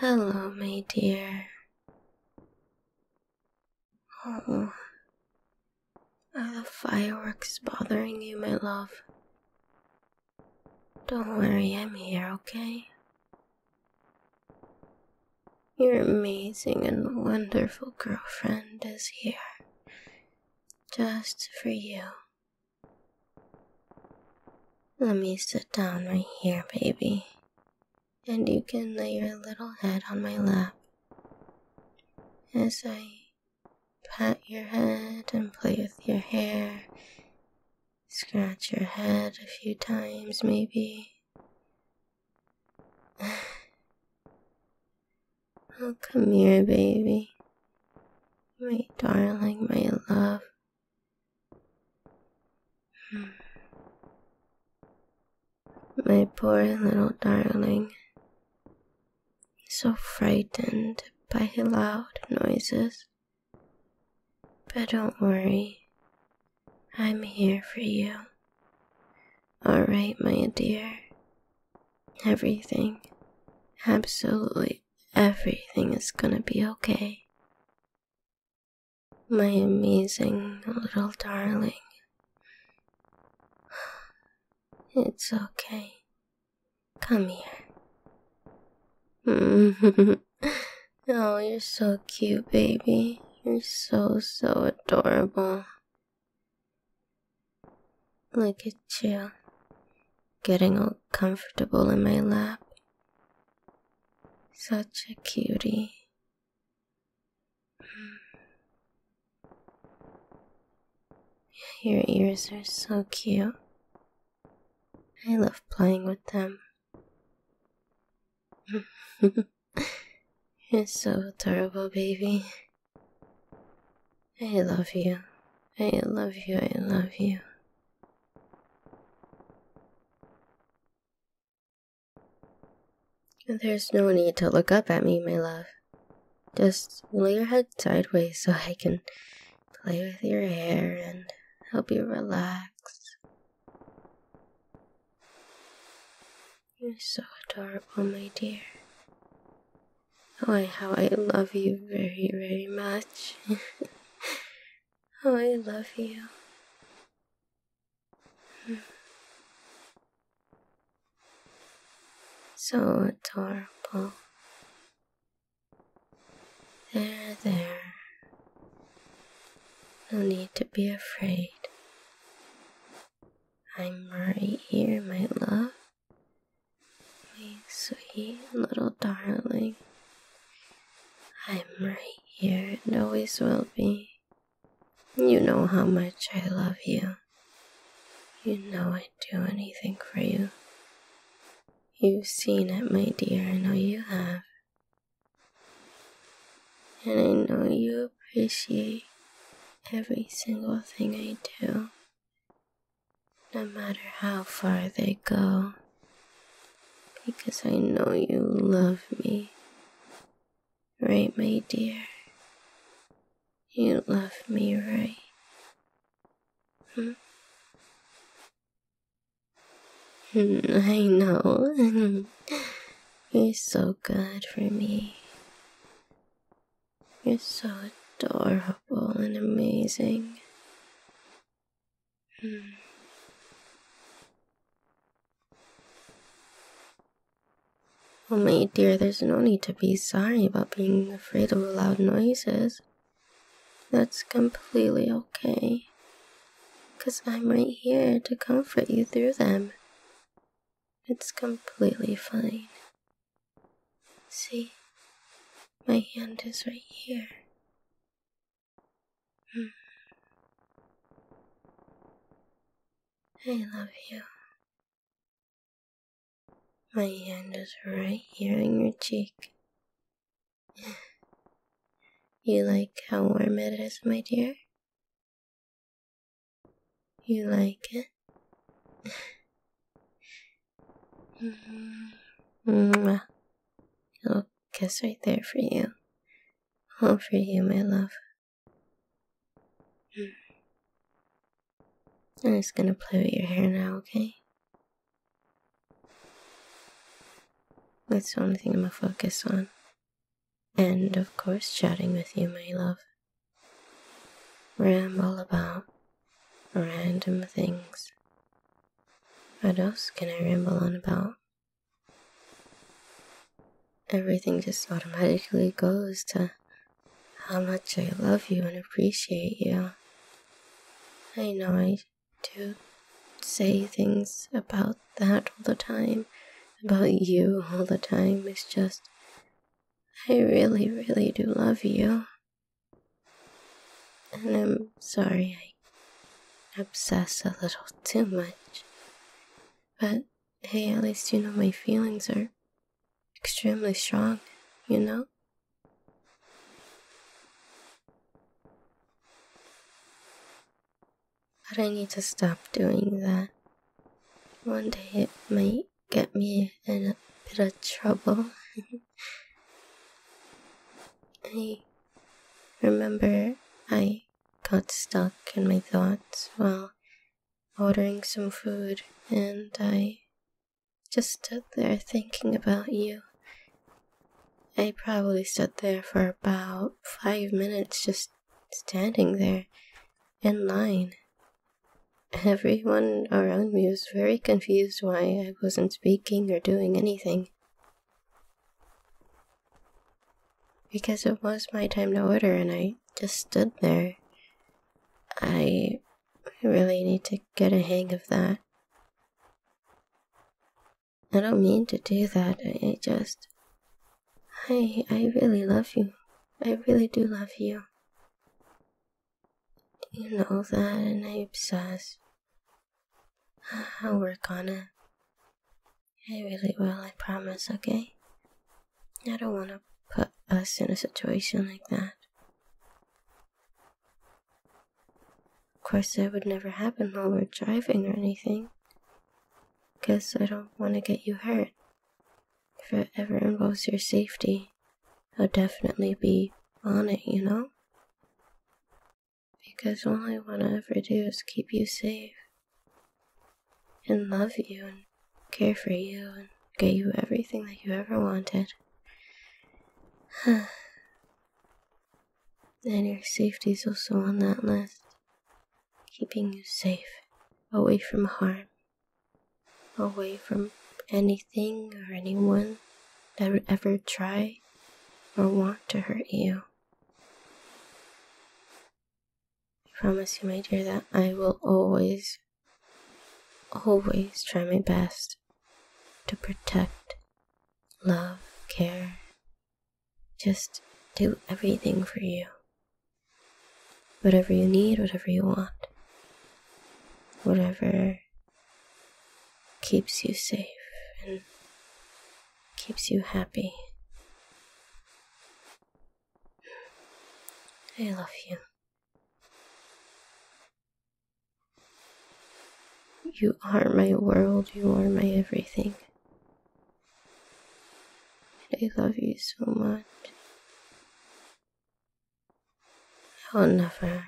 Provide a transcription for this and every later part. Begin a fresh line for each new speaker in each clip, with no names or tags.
Hello, my dear. Oh, the fireworks bothering you, my love? Don't worry, I'm here, okay? Your amazing and wonderful girlfriend is here just for you. Let me sit down right here, baby, and you can lay your little head on my lap as I pat your head and play with your hair, scratch your head a few times, maybe. Oh, come here, baby. My darling, my love. Hmm. My poor little darling. So frightened by loud noises. But don't worry. I'm here for you. Alright, my dear. Everything, absolutely everything is gonna be okay. My amazing little darling. It's okay. Come here. oh, you're so cute, baby. You're so, so adorable. Look at you, getting all comfortable in my lap. Such a cutie. Hmm. Your ears are so cute. I love playing with them. You're so adorable, baby. I love you. I love you. I love you. There's no need to look up at me, my love. Just lay your head sideways so I can play with your hair and help you relax. You're so adorable, my dear. Oh, how I love you very, very much. oh, I love you. So adorable. There, there. No need to be afraid. I'm right here, my love. My sweet little darling. I'm right here and always will be.
You know how much I love you.
You know I'd do anything for you. You've seen it, my dear, I know you have. And I know you appreciate every single thing I do, no matter how far they go, because I know you love me. Right, my dear? You love me, right? Hmm? I know. You're so good for me. You're so adorable and amazing. Mm. Oh, my dear, there's no need to be sorry about being afraid of loud noises. That's completely okay because I'm right here to comfort you through them. It's completely fine. See, my hand is right here. Hmm. I love you. My hand is right here on your cheek. you like how warm it is, my dear? You like it? Mm-hmm. Mwah. I'll kiss right there for you. All for you, my love. I'm just gonna play with your hair now, okay? That's the only thing I'm gonna focus on and of course chatting with you, my love. Ramble about random things. What else can I ramble on about? Everything just automatically goes to how much I love you and appreciate you. I know I do say things about that all the time, about you all the time. It's just, I really, really do love you. And I'm sorry I obsess a little too much. But hey, at least you know my feelings are extremely strong, you know? But I need to stop doing that. One day it might get me in a bit of trouble. I remember I got stuck in my thoughts while ordering some food, and I just stood there thinking about you I probably stood there for about five minutes just standing there in line. Everyone around me was very confused why I wasn't speaking or doing anything. Because it was my time to order and I just stood there. I really need to get a hang of that. I don't mean to do that. I, just. I, I really love you. I really do love you. You know that, and I obsess. I'll work on it. I really will, I promise, okay? I don't want to put us in a situation like that. Of course, that would never happen while we're driving or anything. Because I don't want to get you hurt. If it ever involves your safety, I'll definitely be on it, you know? Because all I want to ever do is keep you safe. And love you and care for you and get you everything that you ever wanted. And your safety is also on that list, keeping you safe, away from harm, away from anything or anyone that would ever try or want to hurt you. I promise you, my dear, that I will always, always try my best to protect, love, care, just do everything for you. Whatever you need, whatever you want, whatever keeps you safe and keeps you happy. I love you. You are my world, you are my everything. And I love you so much. I'll never,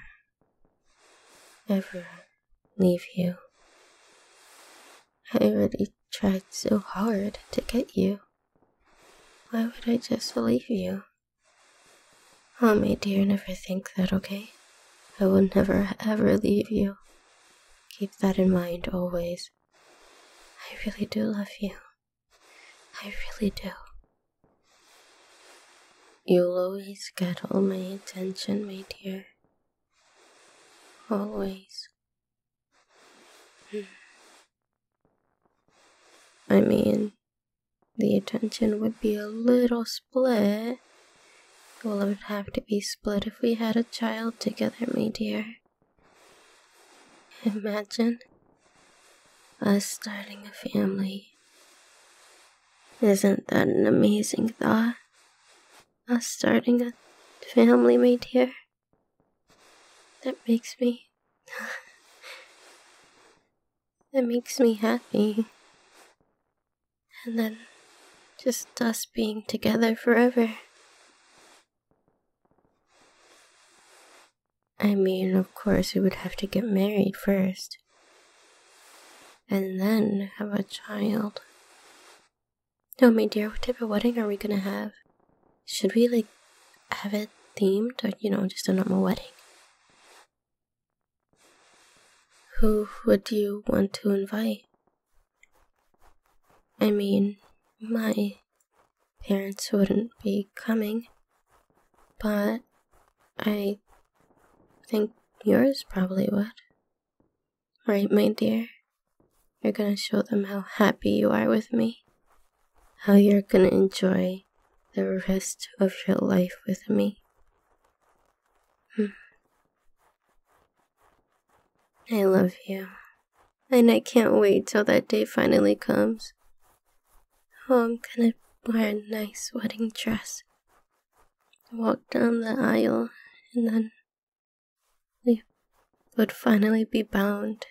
ever leave you. I already tried so hard to get you. Why would I just leave you? Oh, my dear, never think that, okay? I will never, ever leave you. Keep that in mind always. I really do love you. I really do. You'll always get all my attention, my dear. Always. Hmm. I mean, the attention would be a little split. Well, it would have to be split if we had a child together, my dear. Imagine us starting a family. Isn't that an amazing thought? Us starting a family, my dear. That makes me. that makes me happy. And then just us being together forever. I mean, of course, we would have to get married first. And then have a child. Oh, my dear, what type of wedding are we gonna have? Should we, like, have it themed or, you know, just a normal wedding? Who would you want to invite? I mean, my parents wouldn't be coming, but I think yours probably would. Right, my dear? You're gonna show them how happy you are with me, how you're gonna enjoy the rest of your life with me. Hmm. I love you. And I can't wait till that day finally comes. Oh, I'm gonna wear a nice wedding dress. Walk down the aisle, and then we would finally be bound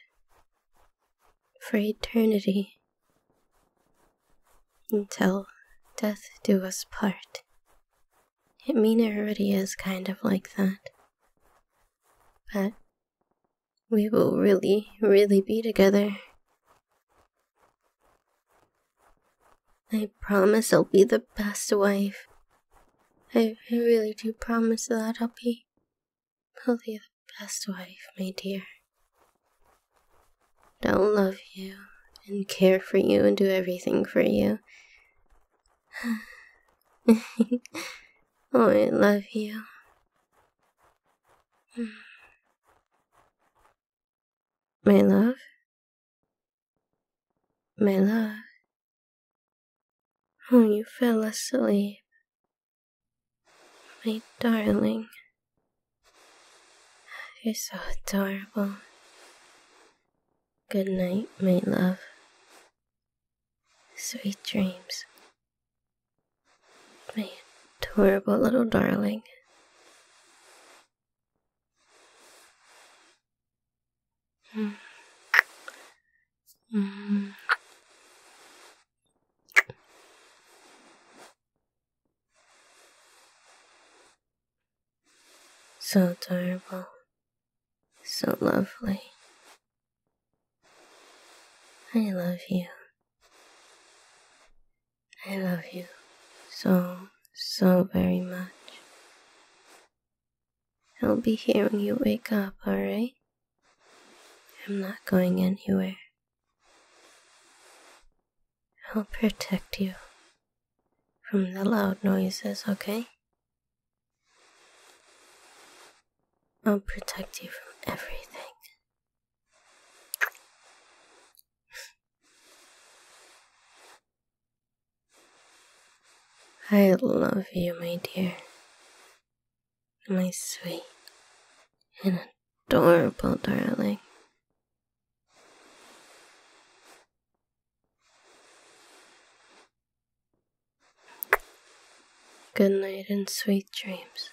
for eternity. Until death do us part. It mean, already is kind of like that. But we will really, really be together. I promise I'll be the best wife. I, I really do promise that I'll be. I'll be best wife, my dear. Don't love you and care for you and do everything for you. oh, I love you. My love? My love? Oh, you fell asleep. My darling, you're so adorable. Good night, my love. Sweet dreams. My adorable little darling. Mm. Mm. So terrible, so lovely. I love you. I love you so, so very much. I'll be here when you wake up, alright? I'm not going anywhere. I'll protect you from the loud noises, okay? I'll protect you from everything. I love you, my dear my sweet and adorable darling. Good night and sweet dreams.